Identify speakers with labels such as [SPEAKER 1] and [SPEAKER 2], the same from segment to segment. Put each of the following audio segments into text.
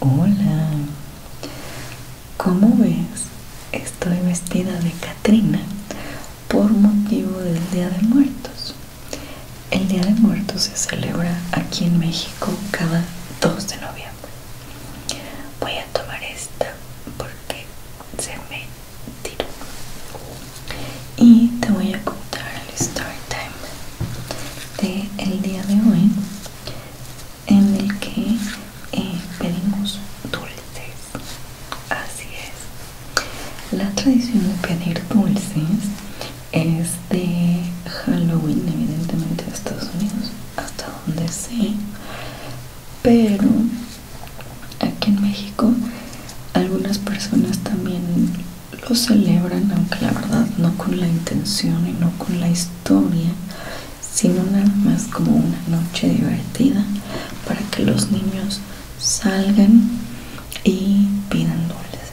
[SPEAKER 1] Hola, como ves, estoy vestida de Catrina por motivo del Día de Muertos. El Día de Muertos se celebra aquí en México cada 2 de noviembre. Voy a tomar esta porque se me tiró y te voy a contar el story time del día de hoy en el que eh, pedimos dulces así es la tradición de pedir dulces es de Halloween evidentemente de Estados Unidos hasta donde sé pero aquí en México algunas personas también lo celebran, aunque la verdad no con la intención y no con la historia, sino nada más como una noche divertida para que los niños salgan y pidan dulces.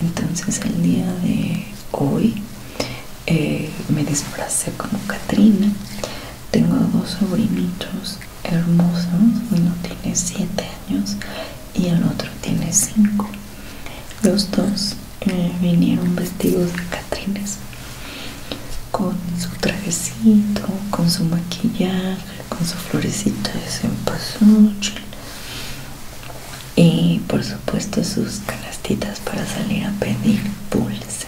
[SPEAKER 1] Entonces el día de hoy eh, me disfracé como Katrina. Tengo dos sobrinitos hermosos, uno tiene 7 años y el otro tiene cinco. Los dos eh, vinieron vestidos de catrines con su trajecito, con su maquillaje, con su florecita de cempasúchil y por supuesto sus canastitas para salir a pedir dulces.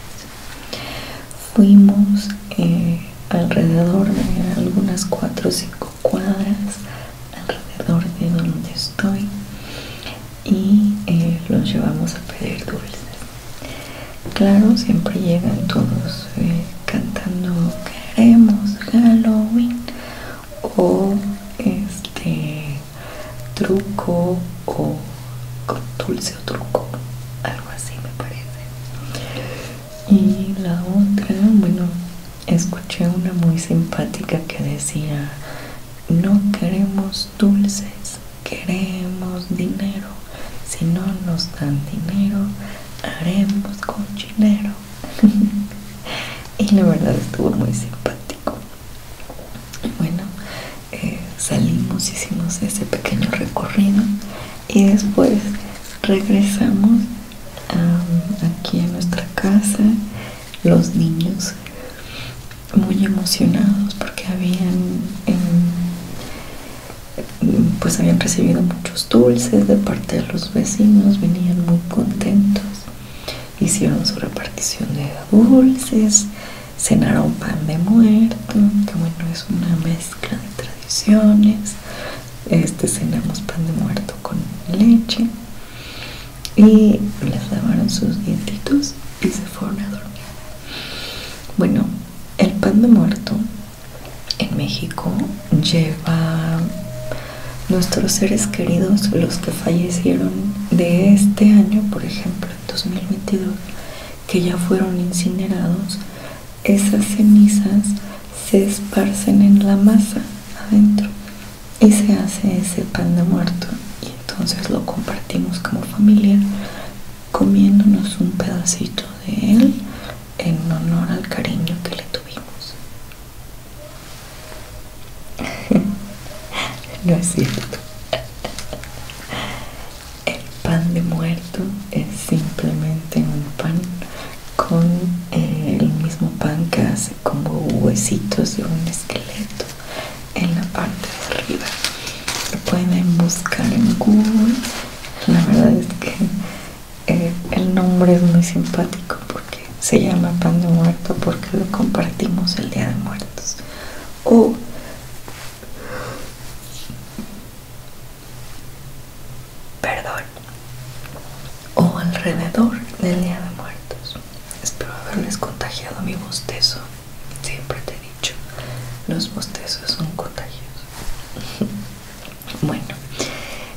[SPEAKER 1] Fuimos eh, alrededor de algunas cuatro o cinco cuadras alrededor de donde estoy y eh, los llevamos a pedir dulces. Claro, siempre llegan todos eh, cantando queremos Halloween o este truco o con dulce o truco, algo así me parece. Y la otra, bueno, escuché una muy simpática que decía, no queremos dulces, queremos dinero. Si no nos dan dinero, haremos cochinero. y la verdad estuvo muy simpático. Bueno, eh, salimos, hicimos ese pequeño recorrido y después regresamos aquí en nuestra casa los niños muy emocionados porque habían em, pues habían recibido muchos dulces de parte de los vecinos venían muy contentos hicieron su repartición de dulces cenaron pan de muerto que bueno es una mezcla de tradiciones este cenamos pan de muerto con leche y les lavaron sus dientitos y se fueron a dormir. Bueno, el pan de muerto en México lleva nuestros seres queridos, los que fallecieron de este año, por ejemplo, en 2022, que ya fueron incinerados, esas cenizas se esparcen en la masa adentro y se hace ese pan de muerto y entonces lo compartimos como familia comiéndonos un pedacito de él en honor al cariño que le tuvimos. no es cierto. El pan de muerto es simplemente un pan con el eh, mismo pan que hace como huesitos de un esqueleto en la parte de arriba lo pueden buscar en google la verdad es que eh, el nombre es muy simpático porque se llama pan de muerto porque lo compartimos el día de muertos o perdón o alrededor del Día de Muertos. Espero haberles contagiado mi bostezo. Siempre te he dicho, los bostezos son contagiosos. bueno,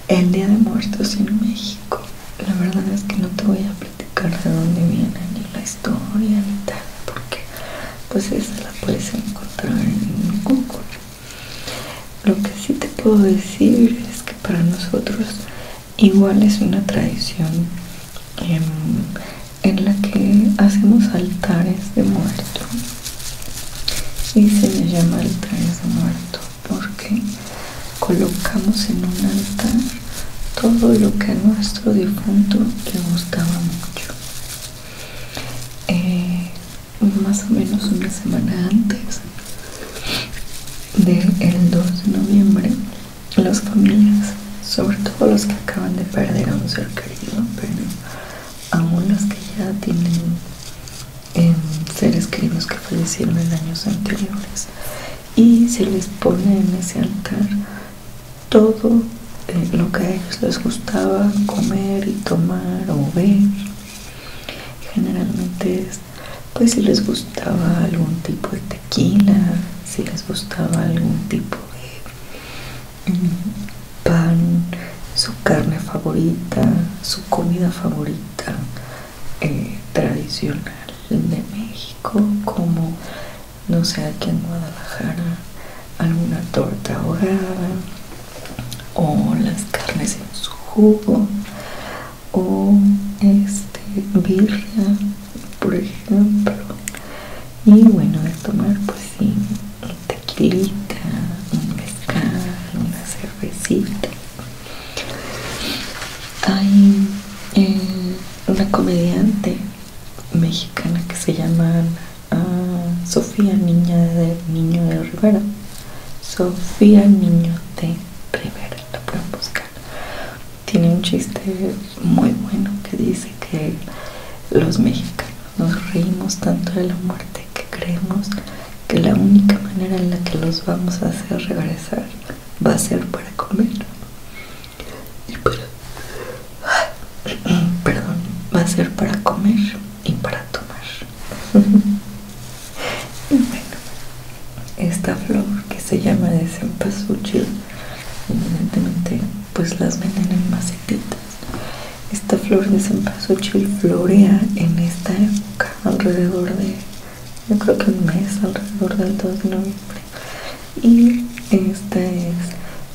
[SPEAKER 1] el Día de Muertos en México. La verdad es que no te voy a platicar de dónde viene ni la historia ni tal, porque pues esa la puedes encontrar en Google. Lo que sí te puedo decir es que para nosotros igual es una tradición en la que hacemos altares de muerto y se le llama altares de muerto porque colocamos en un altar todo lo que a nuestro difunto le gustaba mucho. Eh, más o menos una semana antes del 2 de noviembre, las familias, sobre todo los que acaban de perder a un ser querido, pero aún las que ya tienen em, seres queridos que fallecieron en años anteriores, y se les pone en ese altar todo eh, lo que a ellos les gustaba comer y tomar o ver Generalmente pues si les gustaba algún tipo de tequila, si les gustaba algún tipo de mm, pan, su carne favorita, su comida favorita eh, tradicional de México, como no sé aquí en Guadalajara, alguna torta ahogada o las carnes en su jugo o este birria por ejemplo y bueno de tomar pues sí un tequilita un mezcal una cervecita hay eh, una comediante mexicana que se llama a ah, Sofía, niña del niño de Rivera. Sofía, niño de Rivera, la pueden buscar. Tiene un chiste muy bueno que dice que los mexicanos nos reímos tanto de la muerte que creemos que la única manera en la que los vamos a hacer regresar va a ser para comer. Y Perdón, va a ser para comer y para tomar. esta flor que se llama de cempasúchil, evidentemente, pues las venden en macetitas. Esta flor de cempasúchil florea en esta época, alrededor de, yo creo que un mes, alrededor del 2 de noviembre. Y esta es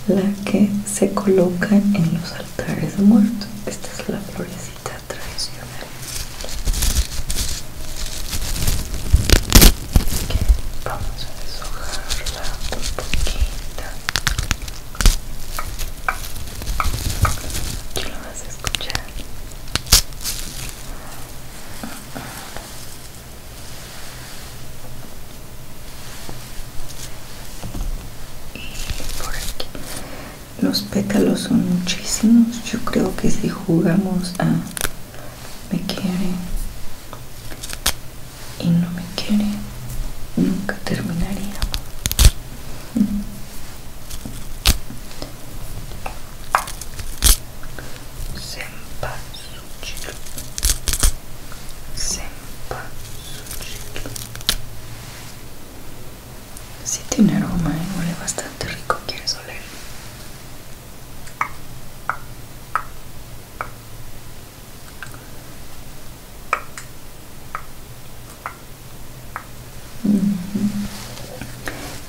[SPEAKER 1] la que se coloca en los altares de muertos. Esta es la flor tradicional traicionar. vamos a deshojarla un poquito lo vas a escuchar y por aquí los pétalos son muchísimos yo creo que si jugamos a me quiere y no me quiere nunca terminaría Sí tiene aroma, y ¿eh? huele bastante rico, ¿quieres oler?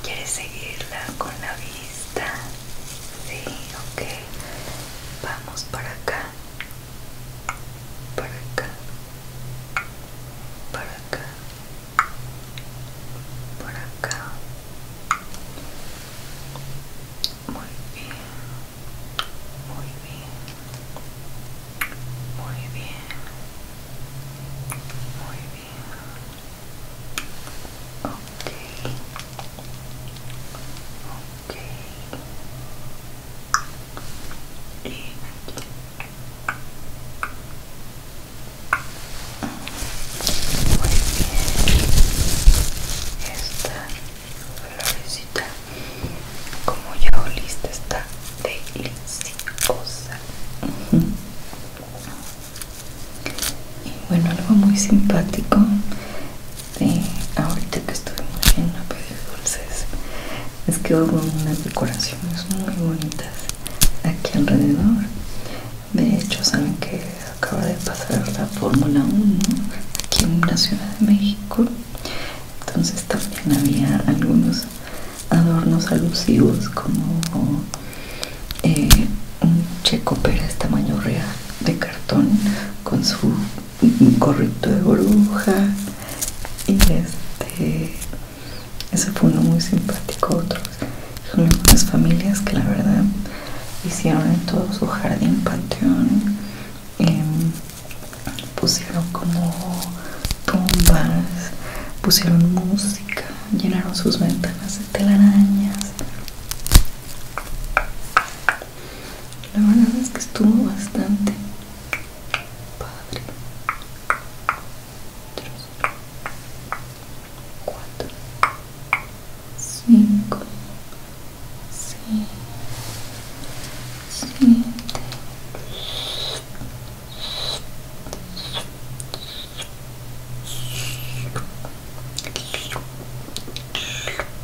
[SPEAKER 1] ¿Quieres seguirla con la vista? Sí, ok. Vamos para acá para acá, para acá, para acá. Muy bien, muy bien, muy bien, muy bien. Ok, y aquí muy bien esta florecita como ya oíste está deliciosa y bueno algo muy simpático de ahorita que estuvimos yendo a pedir dulces es que hubo unas decoraciones muy bonitas aquí alrededor de hecho saben que acaba de pasar la fórmula 1 aquí en la ciudad de méxico entonces también había algunos adornos alusivos como eh, un checo pérez tamaño real de cartón con su un correcto de bruja y este ese fue uno muy simpático otros son algunas familias que la verdad hicieron en todo su jardín panteón em, pusieron como tumbas pusieron música llenaron sus ventanas de telarañas la verdad es que estuvo bastante Padre cuatro, cinco, siete,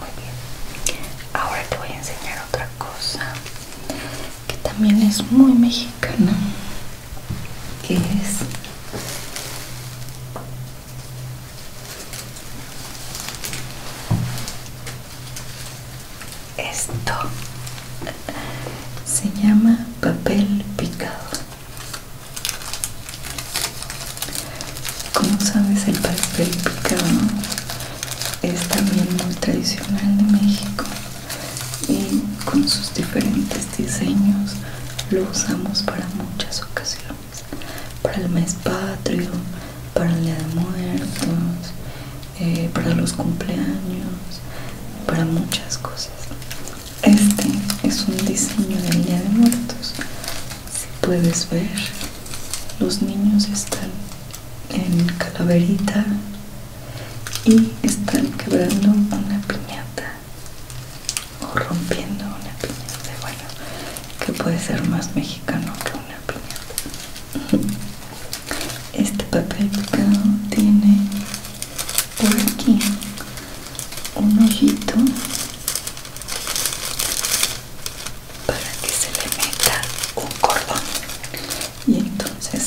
[SPEAKER 1] Muy bien, ahora te voy a enseñar otra cosa que también es muy mexicana, que es esto se llama papel picado. Como sabes, el papel picado es también muy tradicional de México y con sus diferentes diseños lo usamos para muchas ocasiones para el mes patrio, para el día de muertos, eh, para los cumpleaños, para muchas cosas. Este es un diseño del día de muertos. Si puedes ver, los niños están en calaverita y están quebrando una piñata o rompiendo una piñata bueno que puede ser más mexicano que una piñata este papel picado tiene por aquí un ojito para que se le meta un cordón y entonces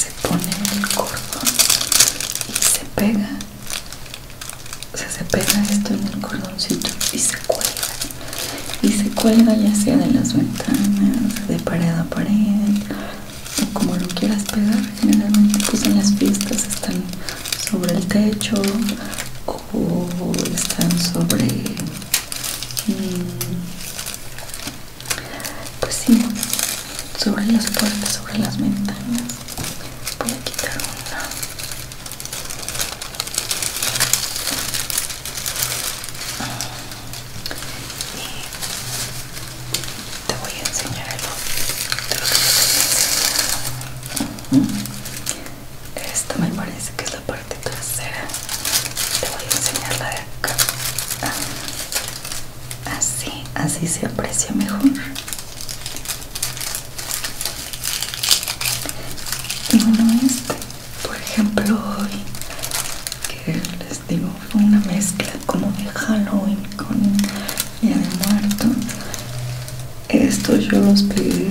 [SPEAKER 1] se pone el cordón y se pega o se pega esto en el cordoncito y se cuelga y se cuelga ya sea de las ventanas, de pared a pared o como lo quieras pegar generalmente pues en las pistas están sobre el techo o están sobre mm, pues sí sobre las puertas, sobre las ventanas voy a quitar una y te voy a enseñar el de lo que Esta me parece que es la parte trasera. Te voy a enseñar la de acá. Ah, así, así se aprecia mejor y este por ejemplo hoy que les digo fue una mezcla como de Halloween con Día de Muerto estos yo los pegué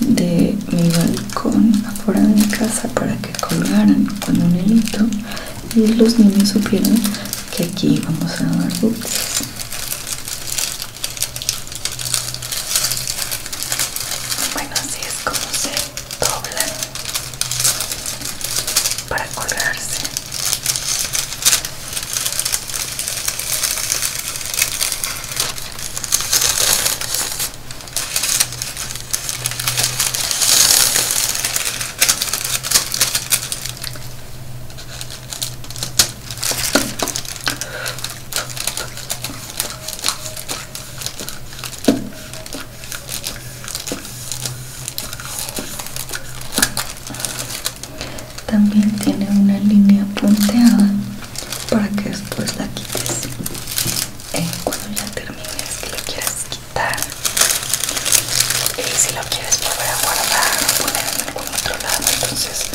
[SPEAKER 1] de mi balcón afuera de mi casa para que colgaran con un helito y los niños supieron que aquí íbamos a dar dulces bueno, así es como se doblan para colgarse. También tiene una línea punteada para que después la quites. Eh, cuando ya termines que la quieras quitar. Y si lo quieres volver a guardar o por otro lado entonces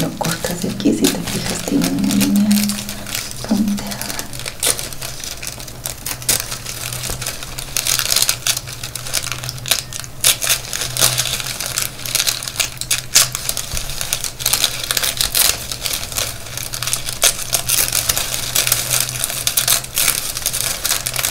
[SPEAKER 1] lo cortas de aquí si te fijas tiene una línea punteada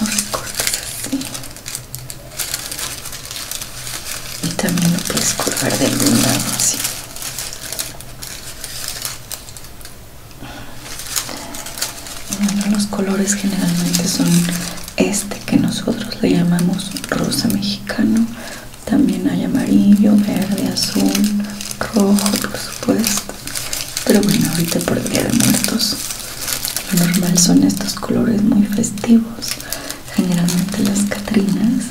[SPEAKER 1] lo y también lo puedes curvar de algún lado así bueno, los colores generalmente son este que nosotros le llamamos rosa mexicano también hay amarillo, verde, azul, rojo por supuesto pero bueno ahorita por día de muertos lo normal son estos colores muy festivos generalmente las catrinas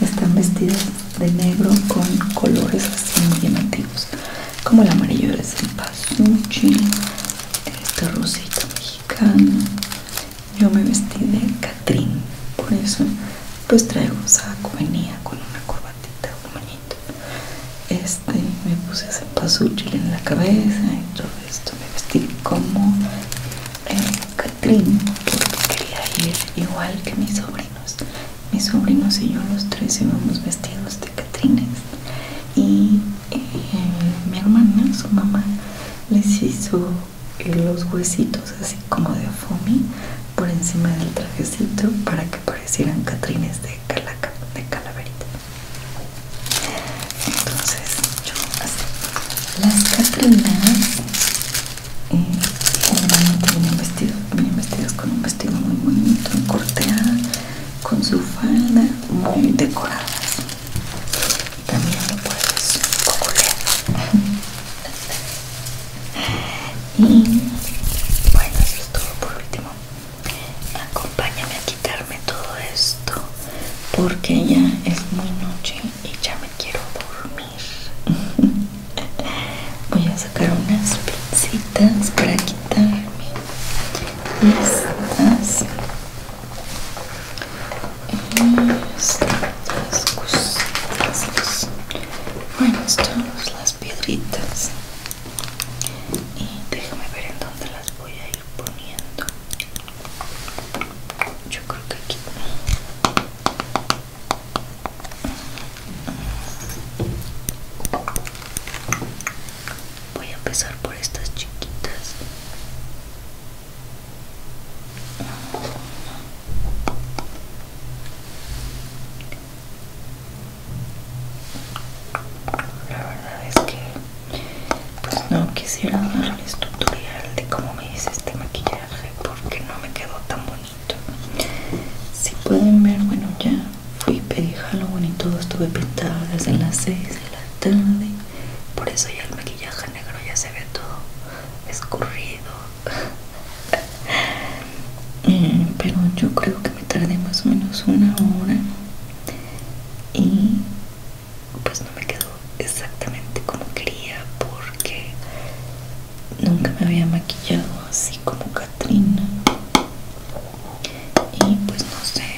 [SPEAKER 1] están vestidas de negro con colores así muy llamativos como el amarillo de el este rosito mexicano yo me vestí de catrín. Por eso pues traigo saco, venía con una corbatita, un moñito. Este, me puse ese pasuchil en la cabeza y todo esto. Me vestí como eh, catrín porque quería ir igual que mis sobrinos. Mis sobrinos y yo los tres íbamos vestidos de catrines. Y eh, mi hermana, su mamá, les hizo los huesitos así como de foamy por encima del trajecito para que parecieran catrines de calaca, de calaverita. Entonces yo así. Las catrinas eh, vienen vestidas, con un vestido muy bonito, corteada, con su falda muy decorada También lo puedes coculear. Y bueno, eso es por último. Acompáñame a quitarme todo esto porque ya es muy noche y ya me quiero dormir. Voy a sacar unas pinzitas para quitarme estas las bueno están las piedritas y déjame ver en dónde las voy a ir poniendo yo creo que aquí voy a empezar por estas chiquitas la verdad es que pues no quisiera darles tutorial de cómo me hice este maquillaje porque no me quedó tan bonito. Si pueden ver, bueno ya fui pedí Halloween y todo estuve pintado desde las 6 de la tarde. Por eso ya el maquillaje negro ya se ve todo escurrido, eh, pero yo creo que me tardé más o menos una hora y pues no me quedó exactamente como quería porque nunca me había maquillado así como Katrina y pues no sé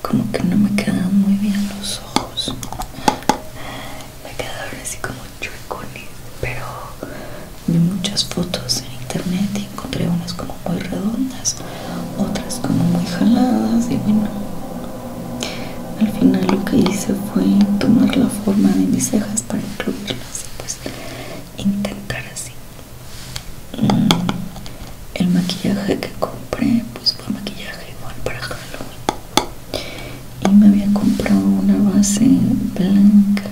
[SPEAKER 1] como que no me quedan muy bien los ojos me quedaron así como chuecones pero vi muchas fotos en internet y encontré unas como muy redondas otras como muy jaladas y bueno al final lo que hice fue tomar la forma de mis cejas para incluirlas y pues intentar así mm, el maquillaje que compré pues fue maquillaje igual para jalón y me había comprado una base blanca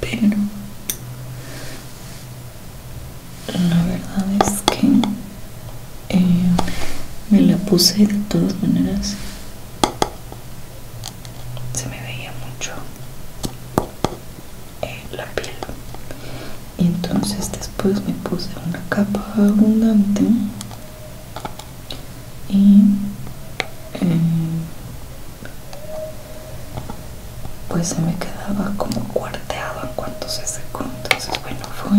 [SPEAKER 1] pero la verdad es que eh, me la puse de todas maneras se me veía mucho eh, la piel y entonces después me puse una capa abundante y eh, pues se me quedaba como cuarteado en cuanto se secó entonces bueno fue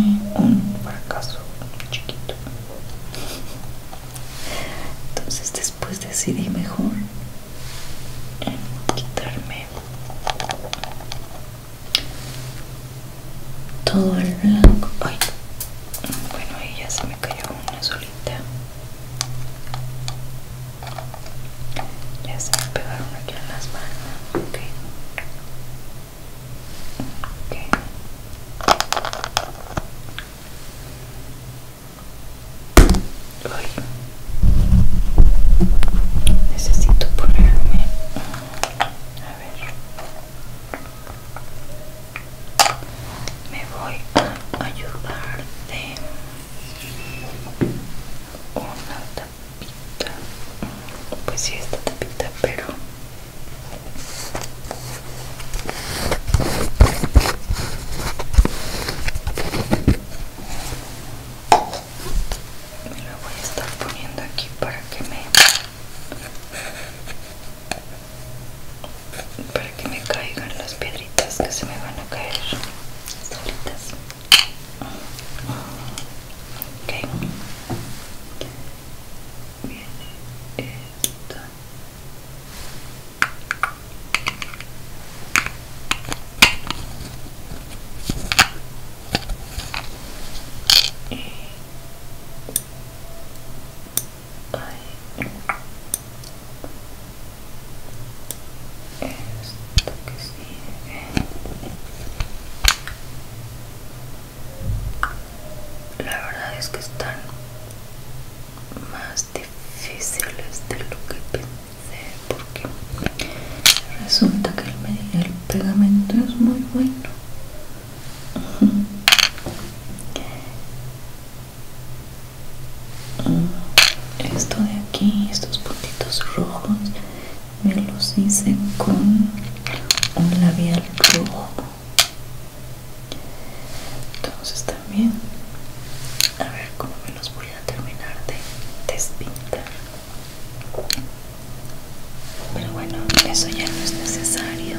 [SPEAKER 1] un fracaso chiquito entonces después decidí mejor eh, quitarme todo el blanco ay bueno, y ya se me cayó una solita. Ya se me pegaron aquí en las manos. Ok. okay. Necesito ponerme. Mm, a ver me voy a ayudar de una tapita pues sí esta tapita pero me la voy a estar poniendo aquí para que me para que me caigan las piedritas que se me van a caer solitas ok viene esto que sigue la verdad es que están más difíciles de lo que pensé porque resulta que el pegamento es muy bueno esto de aquí estos puntitos rojos me los hice con un labial rojo entonces también a ver cómo me los voy a terminar de despintar pero bueno, eso ya no es necesario.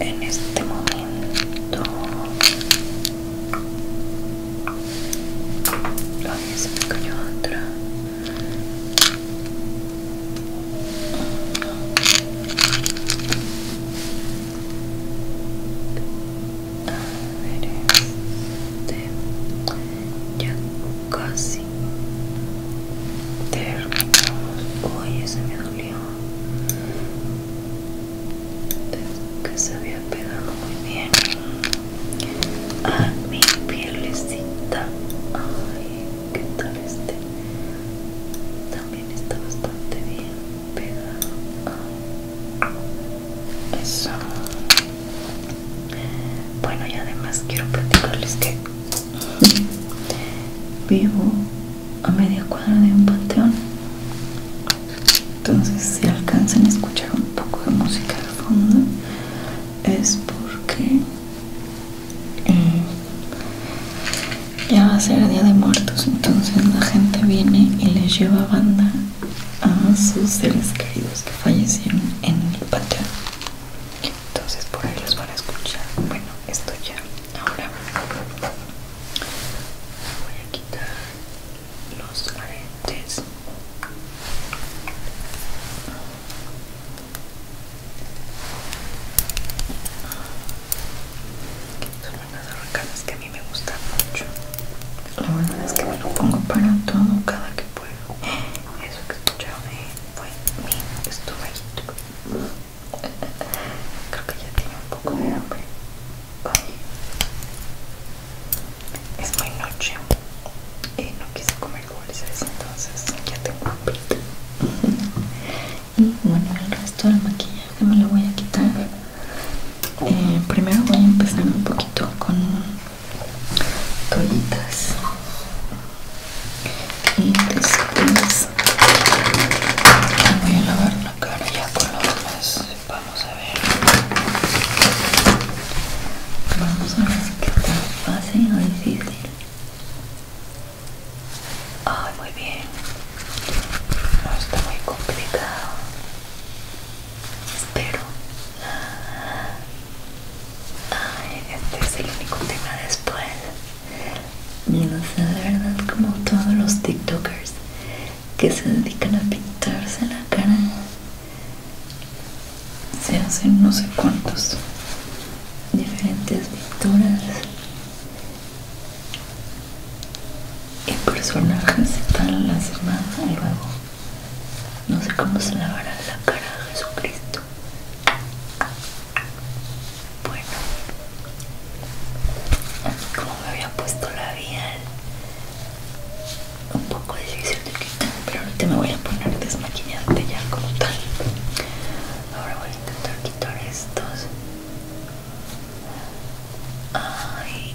[SPEAKER 1] En este momento... me otra. A ver, este, ya casi terminamos oye se me dolió que se había pegado muy bien a mi piel ay qué tal este también está bastante bien pegado eso bueno, y además quiero platicarles que vivo a media cuadra de un panteón. Entonces, si alcanzan a escuchar un poco de música de fondo, es porque mm, ya va a ser el Día de Muertos. Entonces, la gente viene y les lleva banda a sus seres queridos que fallecieron en el panteón entonces por ahí los van a escuchar bueno esto ya ahora voy a quitar los aretes son unas arracadas que a mí me gustan mucho la verdad es que me lo pongo para todo cada que eso que escucharon ahí fue mi estufadito. Creo que ya tiene un poco de hambre. Es muy noche y no quise comer dulces, entonces ya tengo hambre. Y bueno, el resto del maquillaje me lo voy a quitar. Eh, primero voy a empezar un poquito con Tollitas y después voy a lavar la cara ya con los demás vamos a ver vamos a ver qué tan fácil o difícil ay muy bien no está muy complicado espero Ay, este es el único tema después sé, de verdad como todos los tiktokers que se dedican a pintarse la cara se hacen no sé cuántos diferentes pinturas y personajes las la semana luego no sé cómo se lavará la cara de Jesucristo. Bueno, como me había puesto la labial, un poco difícil de quitar, pero ahorita me voy a poner desmaquillante ya como tal. Ahora voy a intentar quitar estos. Ay,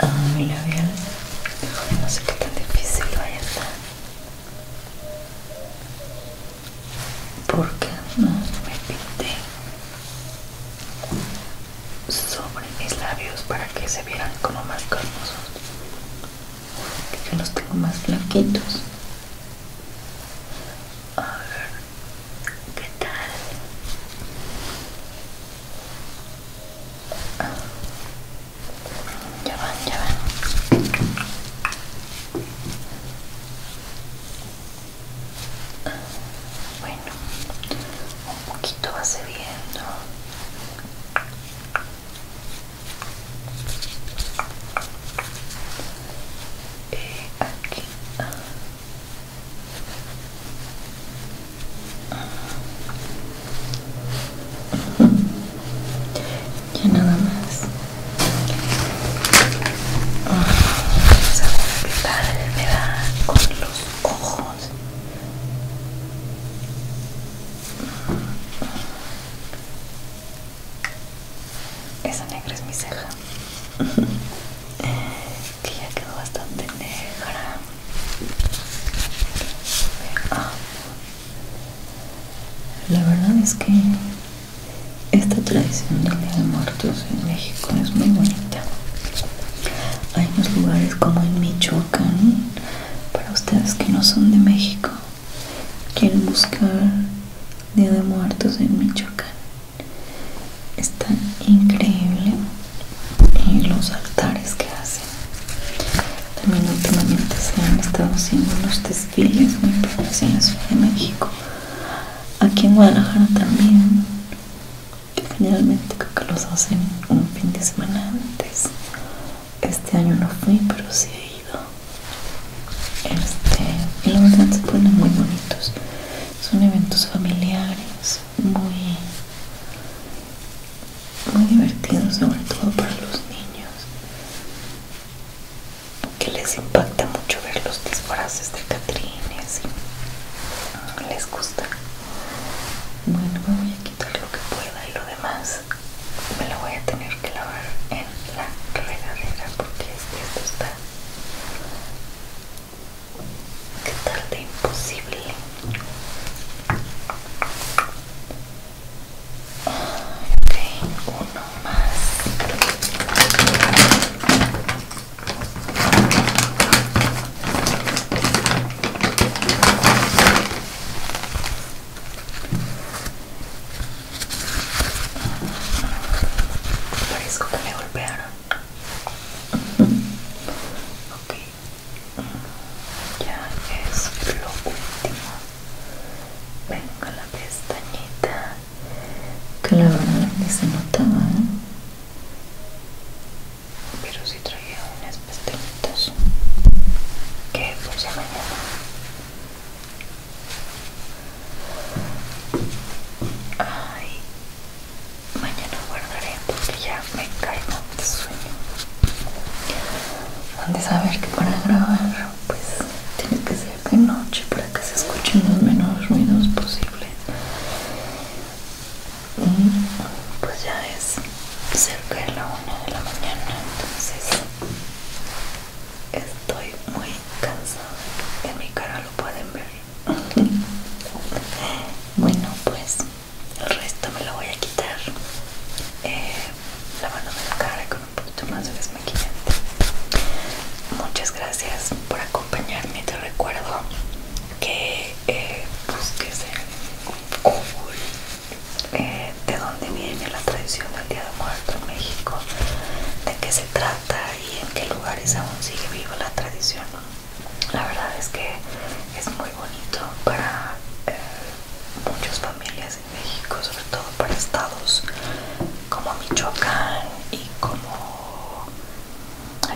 [SPEAKER 1] a mi labial. no sé qué tan difícil vaya a estar. Porque no me pinté sobre mis labios para que se vieran como más carnosos. Que yo los tengo más flaquitos a ver, ¿qué tal? Ya van, ya van. Bueno, un poquito va cediendo. Eh, aquí. Ya nada más. me da con los ojos. Esa negra es mi ceja que ya quedó bastante negra la verdad es que esta tradición del Día de Muertos en México es muy bonita hay unos lugares como en Michoacán para ustedes que no son de México quieren buscar Día de Muertos en Michoacán está increíble y los altares que hacen también últimamente se han estado haciendo los desfiles muy profesionales en México aquí en Guadalajara también que finalmente creo que los hacen un fin de semana antes este año no fui pero sí he ido este y la verdad se ponen muy bonitos son eventos familiares muy muy divertidos sobre todo para los niños que les impacta mucho ver los disfraces de Catrines y les gusta bueno me voy a quitar lo que pueda y lo demás me lo voy a tener que lavar en la regadera porque esto está Qué tarde imposible. Ok, uno más. Parezco que me golpearon. Ok. Ya es lo último. Venga la pestañita. Que la ni se notaba, ¿eh? Pero si traía unas pestañitas. Que por si mañana Ay, mañana guardaré porque ya me caigo de sueño. Han de saber que para grabar, pues tiene que ser de noche para que se escuchen los menos ruidos posibles. Y mm, pues ya es cerca de la una de la mañana, entonces Estoy muy cansada. En mi cara lo pueden ver. bueno, pues el resto me lo voy a quitar. Eh, lavándome la cara con un poquito más de desmaquillante. Muchas gracias por acompañarme. Te recuerdo que busques eh, en Google eh, de dónde viene la tradición del Día de Muertos en México, de qué se trata y en qué lugares aún sigue viva la tradición. La verdad es que es muy bonito para eh, muchas familias en México, sobre todo para estados como Michoacán y como...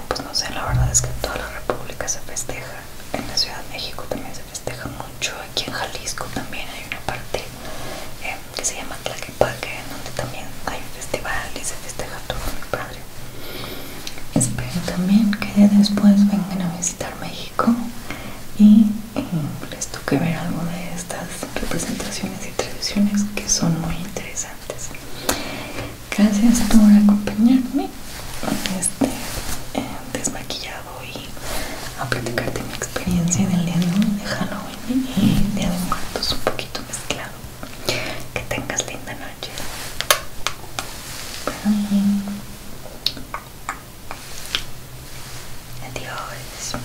[SPEAKER 1] pues no sé, la verdad es que toda la república se festeja. En la Ciudad de México también se festeja mucho, aquí en Jalisco también hay una parte eh, que se llama Tlaquepaque, donde también hay festivales y se festeja todo mi padre. Espero también que después vengan a visitar México y eh, les toque ver algo de estas representaciones y tradiciones que son muy interesantes. Gracias por acompañarme este, eh, desmaquillado y a platicarte mi experiencia del día de hoy de Halloween y Día de Muertos poquito mezclado. Que tengas linda noche. Adiós.